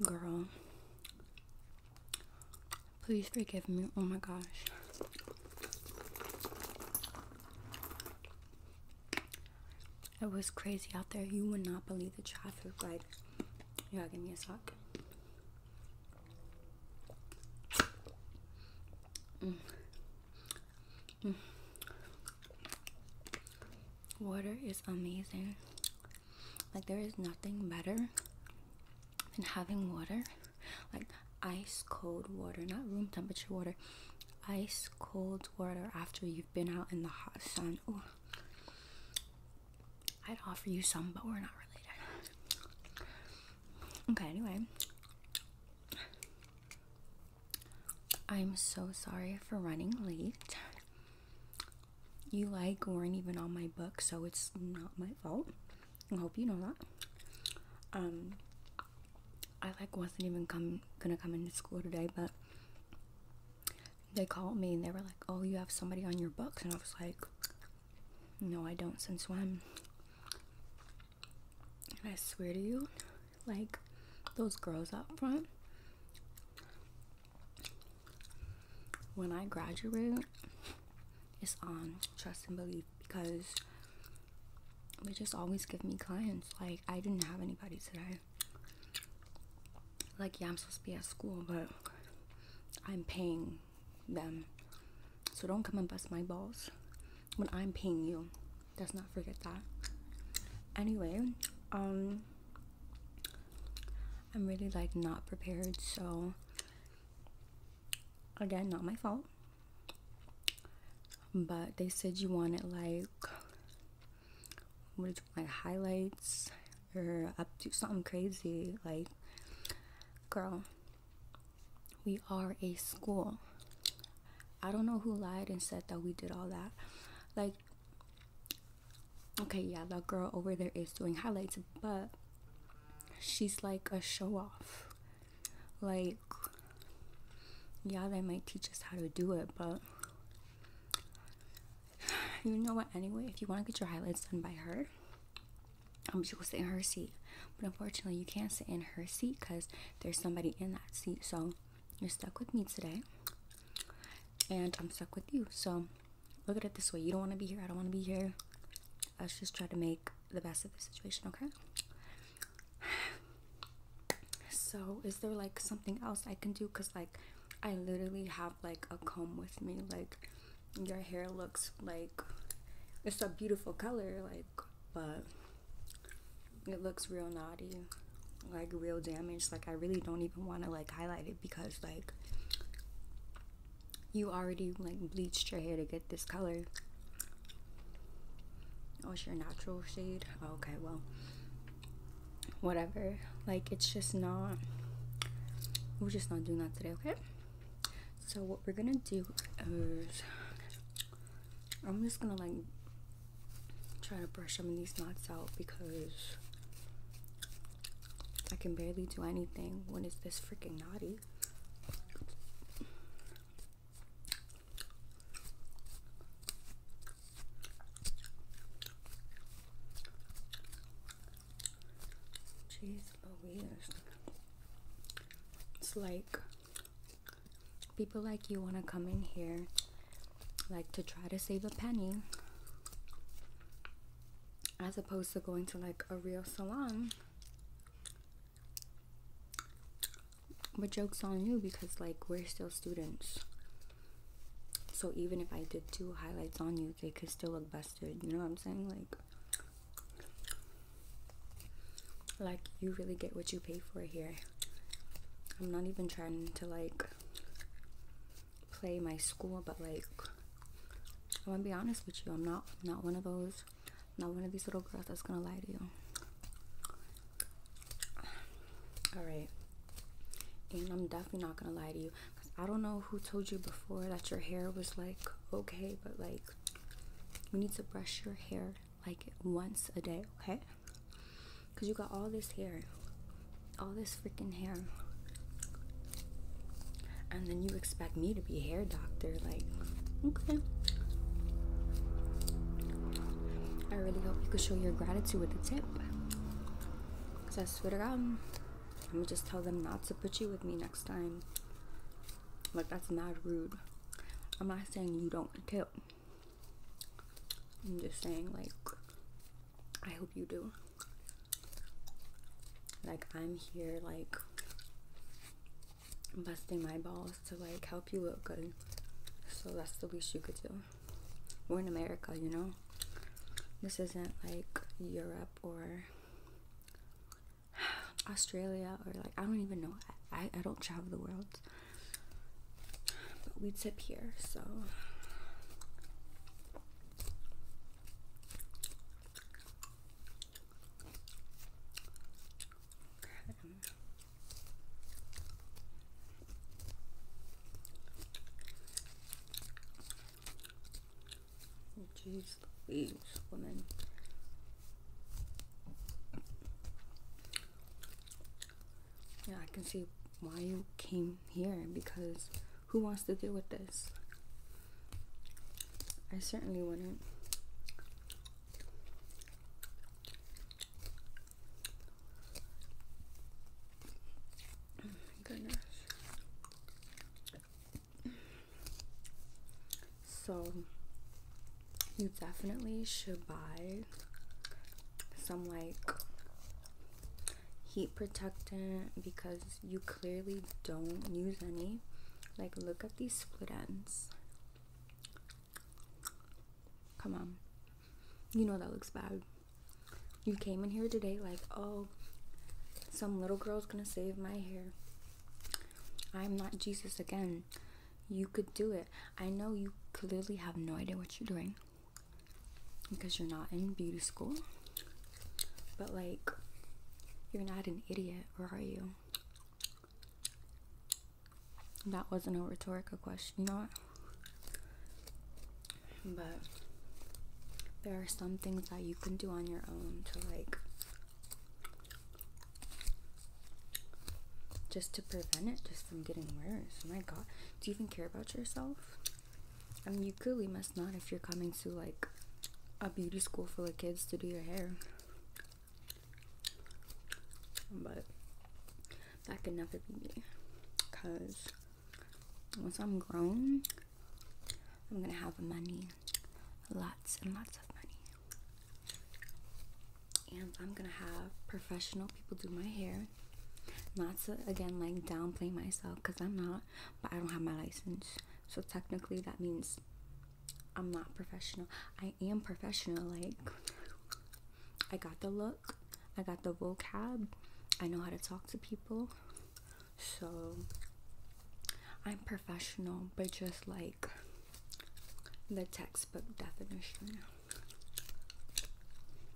Girl, please forgive me. Oh my gosh. It was crazy out there. You would not believe the traffic. Like, y'all give me a sock. Mm. Mm water is amazing. Like, there is nothing better than having water, like ice cold water, not room temperature water, ice cold water after you've been out in the hot sun. Ooh. I'd offer you some, but we're not related. Okay, anyway. I'm so sorry for running late you like weren't even on my book, so it's not my fault. I hope you know that. Um, I like wasn't even come gonna come into school today, but they called me and they were like, "Oh, you have somebody on your book," and I was like, "No, I don't. Since when?" And I swear to you, like those girls up front. When I graduate, it's on trust and belief because they just always give me clients. Like, I didn't have anybody today. Like, yeah, I'm supposed to be at school, but I'm paying them. So don't come and bust my balls when I'm paying you. Let's not forget that. Anyway, um, I'm really like not prepared, so again, not my fault. But they said you wanted like what is like highlights or up to something crazy. Like, girl, we are a school. I don't know who lied and said that we did all that. Like, okay, yeah, that girl over there is doing highlights, but she's like a show off. Like, yeah, they might teach us how to do it, but you know what? Anyway, if you want to get your highlights done by her, um, she will sit in her seat. But unfortunately, you can't sit in her seat because there's somebody in that seat. So you're stuck with me today, and I'm stuck with you. So, look at it this way you don't want to be here, I don't want to be here. Let's just try to make the best of the situation, okay? So, is there like something else I can do? Because, like, I literally have like a comb with me, like, your hair looks like it's a beautiful color, like, but it looks real naughty like real damage like i really don't even want to like highlight it because like you already like bleached your hair to get this color oh your natural shade oh, okay well whatever like it's just not we're just not doing that today okay so what we're gonna do is i'm just gonna like Trying to brush some of these knots out because I can barely do anything When is this freaking naughty? Jeez Louise. It's like people like you want to come in here like to try to save a penny as opposed to going to like a real salon but jokes on you because like we're still students so even if i did two highlights on you they could still look busted you know what i'm saying like like you really get what you pay for here i'm not even trying to like play my school, but like I'm gonna be honest with you, I'm not not one of those, not one of these little girls that's gonna lie to you. All right, and I'm definitely not gonna lie to you. I don't know who told you before that your hair was like okay, but like you need to brush your hair like once a day, okay? Because you got all this hair, all this freaking hair. And then you expect me to be hair doctor. Like, okay. I really hope you can show your gratitude with a tip. Because I swear to God, let me just tell them not to put you with me next time. Like, that's not rude. I'm not saying you don't tip. I'm just saying, like, I hope you do. Like, I'm here, like, busting my balls to, like, help you look good. So that's the least you could do. We're in America, you know? This isn't, like, Europe or Australia or, like, I don't even know. I, I don't travel the world. But we tip here, so Jeez Louise, woman yeah, I can see why you came here because who wants to deal with this? I certainly wouldn't. Oh my goodness. So, you definitely should buy some like heat protectant because you clearly don't use any. Like, look at these split ends. Come on. You know that looks bad. You came in here today like, oh, some little girl's gonna save my hair. I'm not Jesus again. You could do it. I know you clearly have no idea what you're doing because you're not in beauty school. But, like, you're not an idiot, or are you? That wasn't a rhetorical question, you know But there are some things that you can do on your own to, like, just to prevent it just from getting worse. Oh my god, do you even care about yourself? I mean, you clearly must not if you're coming to like a beauty school for the kids to do your hair. But that could never be me. Because once I'm grown, I'm gonna have money. Lots and lots of money. And I'm gonna have professional people do my hair. Not to again like downplay myself because I'm not, but I don't have my license. So technically that means I'm not professional. I am professional, like I got the look, I got the vocab, I know how to talk to people. So I'm professional, but just like the textbook definition.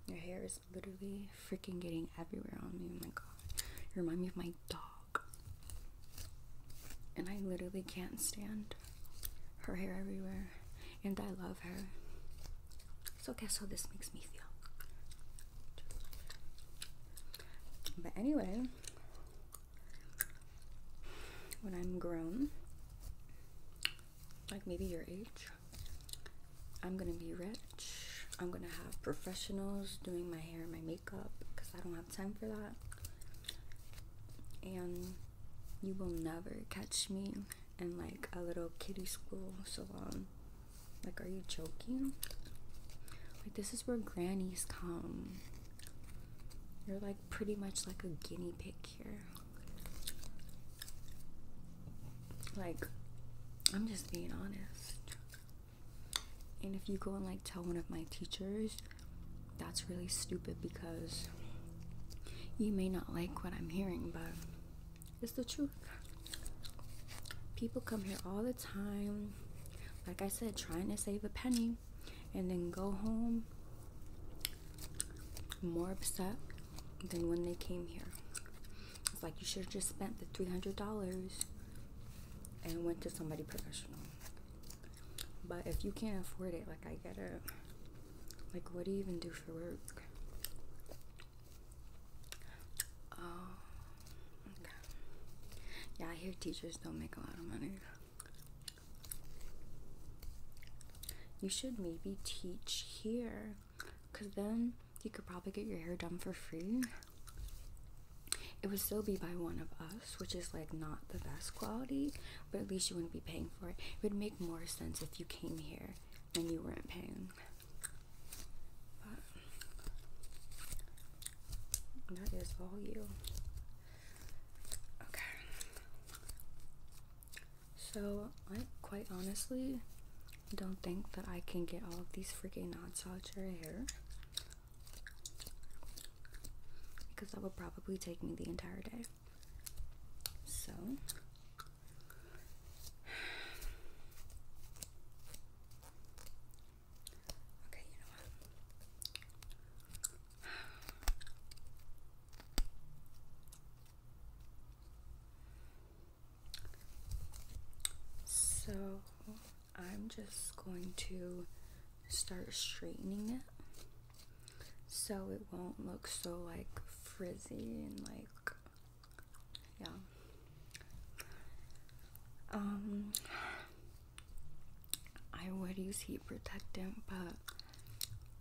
Your hair is literally freaking getting everywhere on me. Oh my god. You remind me of my dog. And I literally can't stand her hair everywhere. And I love her. So guess how this makes me feel. But anyway, when I'm grown, like maybe your age, I'm gonna be rich. I'm gonna have professionals doing my hair and my makeup because I don't have time for that. And you will never catch me in like a little kiddie school salon. Like, are you joking? Like, this is where grannies come. You're like pretty much like a guinea pig here. Like, I'm just being honest. And if you go and like tell one of my teachers, that's really stupid because you may not like what I'm hearing, but it's the truth. People come here all the time, like I said, trying to save a penny and then go home more upset than when they came here. It's like you should have just spent the three hundred dollars and went to somebody professional. But if you can't afford it, like I get it. Like what do you even do for work? Oh, okay. Yeah, I hear teachers don't make a lot of money. You should maybe teach here because then you could probably get your hair done for free. It would still be by one of us, which is like not the best quality, but at least you wouldn't be paying for it. It would make more sense if you came here and you weren't paying. that is all you. Okay. So, quite honestly, don't think that I can get all of these freaking knots out your hair because that would probably take me the entire day. So, okay, you know what? So I'm just going to start straightening it so it won't look so like frizzy and like yeah um I would use heat protectant but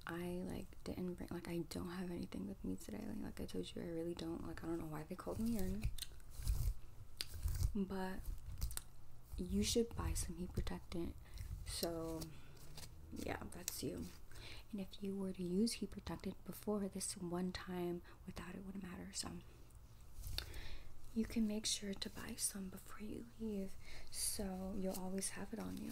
I like didn't bring like I don't have anything with me today. Like, I told you, I really don't. Like, I don't know why they called me urine. But you should buy some heat protectant. So, yeah, that's you. And if you were to use heat protectant before this one time, without it wouldn't matter. So, you can make sure to buy some before you leave so you'll always have it on you.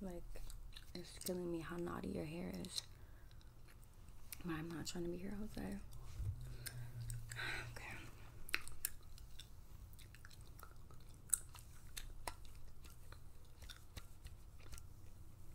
Like, it's killing me how naughty your hair is. But I'm not trying to be here all day. Okay.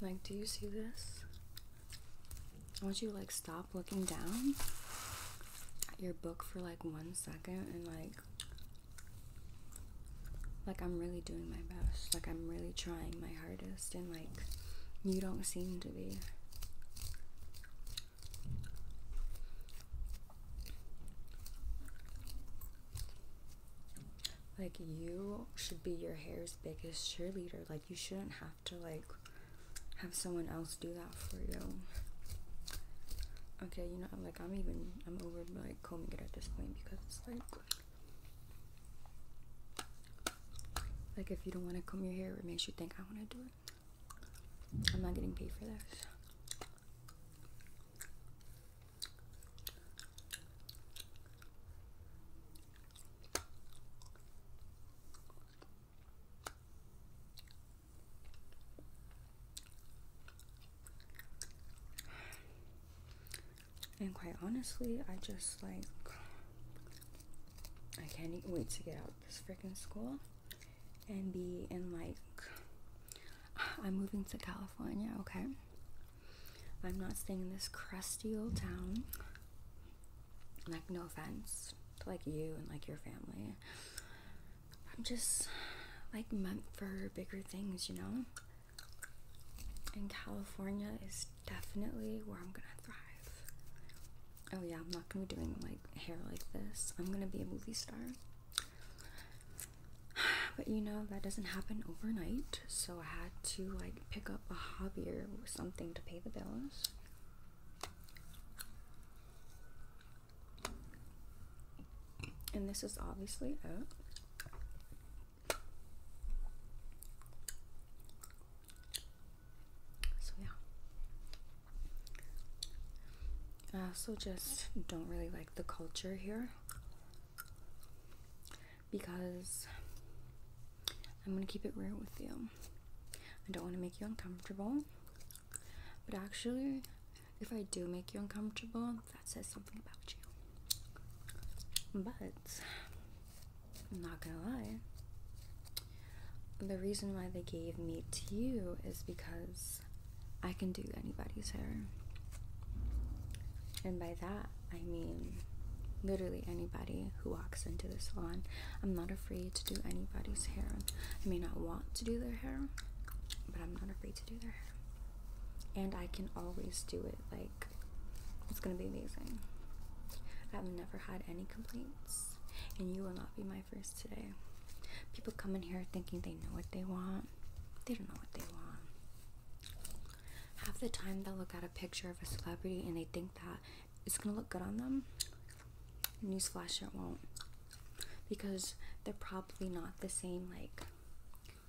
Like, do you see this? I want you to like stop looking down at your book for like one second and like like I'm really doing my best. Like I'm really trying my hardest and like you don't seem to be. Like you should be your hair's biggest cheerleader. Like you shouldn't have to like have someone else do that for you. Okay, you know, like I'm even I'm over like combing it at this point because it's like like if you don't want to comb your hair, it makes you think I want to do it. I'm not getting paid for this. And quite honestly, I just like, I can't wait to get out this freaking school and be in like, I'm moving to California, okay? I'm not staying in this crusty old town. Like, no offense to like you and like your family. I'm just like meant for bigger things, you know? And California is definitely where I'm gonna thrive. Oh, yeah, I'm not gonna be doing like hair like this. I'm gonna be a movie star. But you know, that doesn't happen overnight, so I had to like pick up a hobby or something to pay the bills. And this is obviously it. So, yeah. I also just don't really like the culture here because I'm gonna keep it real with you. I don't want to make you uncomfortable, but actually, if I do make you uncomfortable, that says something about you. But I'm not gonna lie, the reason why they gave me to you is because I can do anybody's hair, and by that, I mean, literally anybody who walks into the salon. I'm not afraid to do anybody's hair. I may not want to do their hair, but I'm not afraid to do their hair. And I can always do it. Like, it's gonna be amazing. I've never had any complaints, and you will not be my first today. People come in here thinking they know what they want, they don't know what they want. Half the time they'll look at a picture of a celebrity and they think that it's gonna look good on them. Newsflash, it won't. Because they're probably not the same, like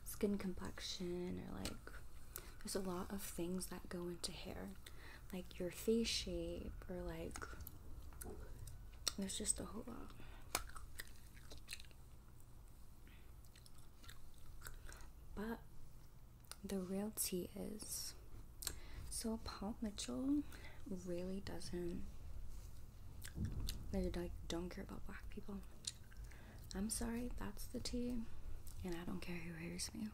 skin complexion, or like there's a lot of things that go into hair, like your face shape, or like there's just a whole lot. But the real tea is so Paul Mitchell really doesn't they like don't care about black people. I'm sorry, that's the tea, and I don't care who hears me.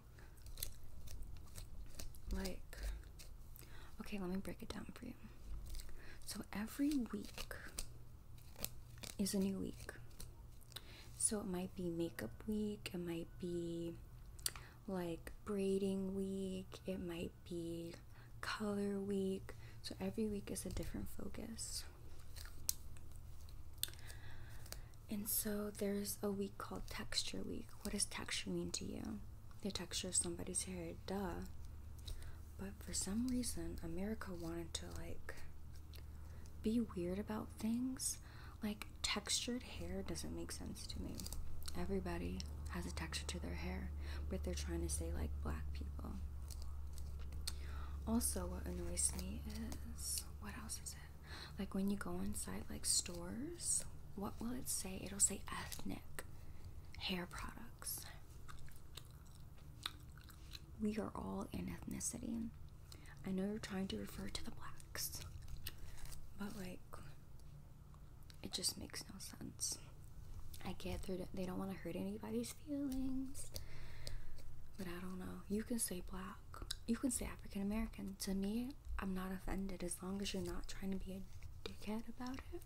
Like, okay, let me break it down for you. So every week, is a new week. So it might be makeup week, it might be like braiding week, it might be color week. So every week is a different focus. And so there's a week called Texture Week. What does texture mean to you? The texture of somebody's hair, duh. But for some reason, America wanted to like be weird about things. Like textured hair doesn't make sense to me. Everybody has a texture to their hair, but they're trying to say like black people. Also, what annoys me is what else is it? Like when you go inside like stores, what will it say? It'll say ethnic hair products. We are all in ethnicity. I know you're trying to refer to the blacks, but like, it just makes no sense. I get through they don't want to hurt anybody's feelings, but I don't know. You can say black, you can say African American. To me, I'm not offended as long as you're not trying to be a dickhead about it.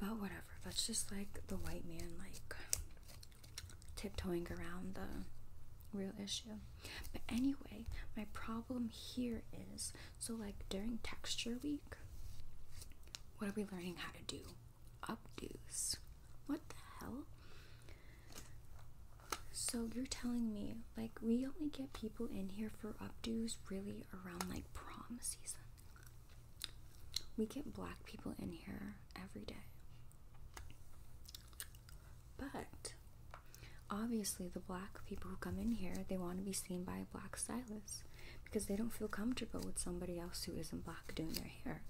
But whatever, that's just like the white man, like tiptoeing around the real issue. But anyway, my problem here is so, like, during texture week, what are we learning how to do? Updos. What the hell? So, you're telling me, like, we only get people in here for updos really around like prom season. We get black people in here every day. But obviously, the black people who come in here, they want to be seen by a black stylist because they don't feel comfortable with somebody else who isn't black doing their hair.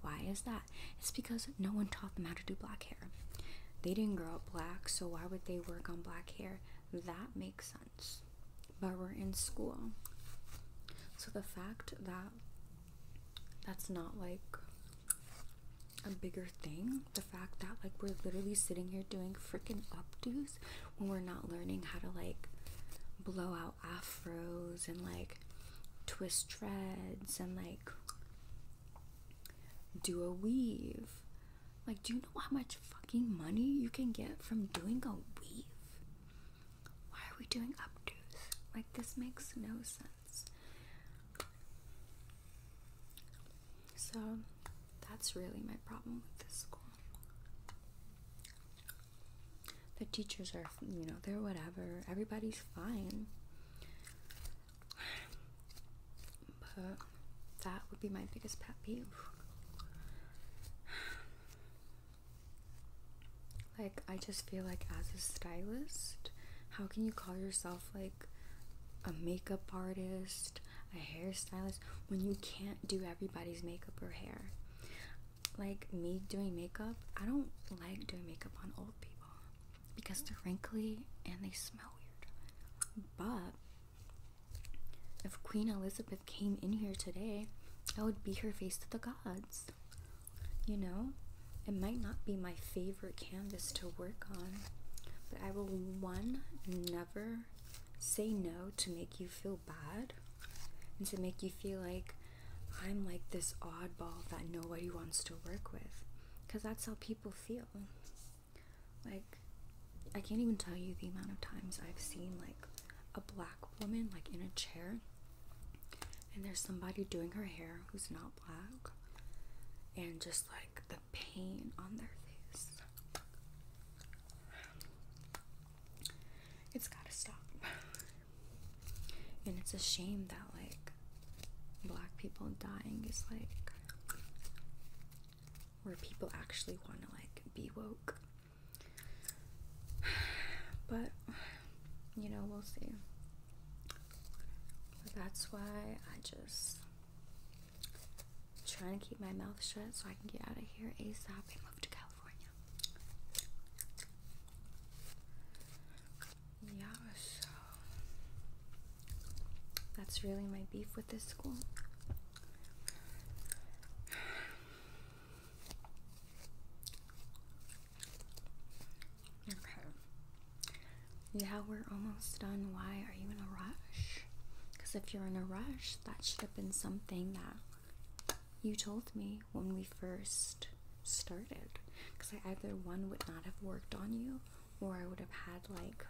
Why is that? It's because no one taught them how to do black hair. They didn't grow up black, so why would they work on black hair? That makes sense. But we're in school. So the fact that that's not like a bigger thing. The fact that like we're literally sitting here doing freaking updos when we're not learning how to like blow out afros and like twist dreads and like do a weave. Like, do you know how much fucking money you can get from doing a weave? Why are we doing updos? Like, this makes no sense. So, that's really my problem with this school. The teachers are, you know, they're whatever. Everybody's fine. But that would be my biggest pet peeve. Like, I just feel like as a stylist, how can you call yourself like a makeup artist, a hairstylist, when you can't do everybody's makeup or hair? Like, me doing makeup, I don't like doing makeup on old people because they're wrinkly and they smell weird. But if Queen Elizabeth came in here today, I would be her face to the gods. You know, it might not be my favorite canvas to work on, but I will one, never say no to make you feel bad and to make you feel like I'm like this oddball that nobody wants to work with. Because that's how people feel. Like, I can't even tell you the amount of times I've seen like a black woman like in a chair and there's somebody doing her hair who's not black, and just like the pain on their face. It's gotta stop. And it's a shame that, like, black people dying is like where people actually want to, like, be woke. But you know, we'll see. that's why I just trying to keep my mouth shut so I can get out of here ASAP and move to California. Yeah, so that's really my beef with this school. Okay. Yeah, we're almost done. Why are you in a rush? Because if you're in a rush, that should have been something that you told me when we first started. Because either one would not have worked on you, or I would have had like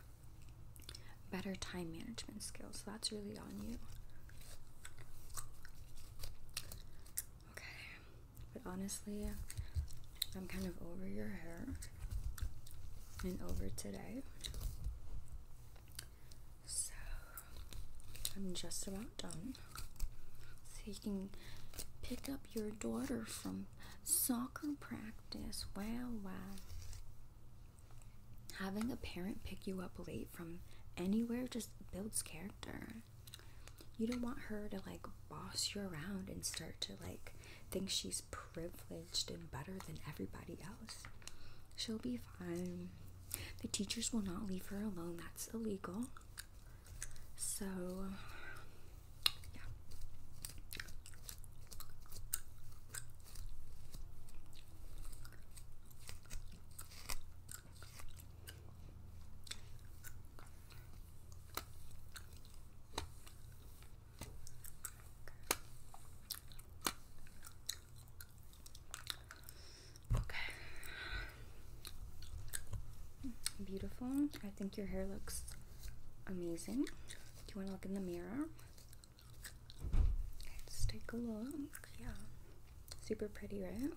better time management skills. So that's really on you. Okay, but honestly, I'm kind of over your hair and over today. So I'm just about done. So you can pick up your daughter from soccer practice. Wow, wow. Having a parent pick you up late from anywhere just builds character you don't want her to like boss you around and start to like think she's privileged and better than everybody else. She'll be fine. The teachers will not leave her alone. That's illegal. So, yeah. Okay. Beautiful. I think your hair looks amazing. Do you want to look in the mirror? Let's take a look. Yeah. Super pretty, right?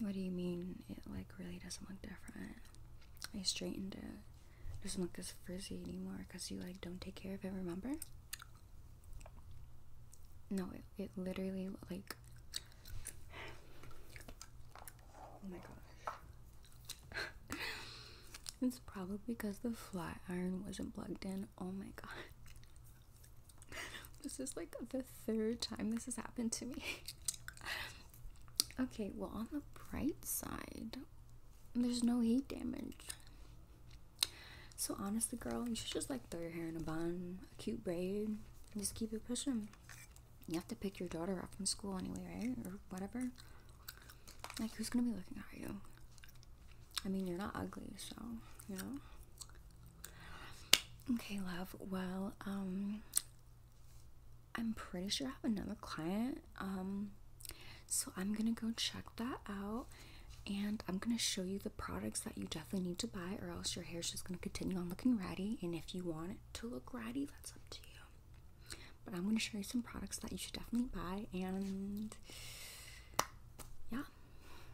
What do you mean it like really doesn't look different? I straightened it. doesn't look as frizzy anymore because you like don't take care of it, remember? No, it, it literally like Oh my gosh. it's probably because the flat iron wasn't plugged in. Oh my god. this is like the third time this has happened to me. okay, well, on the bright side, there's no heat damage. So, honestly, girl, you should just like throw your hair in a bun, a cute braid, and just keep it pushing. You have to pick your daughter up from school anyway, right? Or whatever. Like, who's gonna be looking at you? I mean, you're not ugly, so, you know? Okay, love. Well, um, I'm pretty sure I have another client. Um, so I'm gonna go check that out and I'm gonna show you the products that you definitely need to buy, or else your hair is just gonna continue on looking ratty. And if you want it to look ratty, that's up to you. But I'm gonna show you some products that you should definitely buy, and yeah,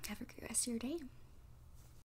have a great rest of your day.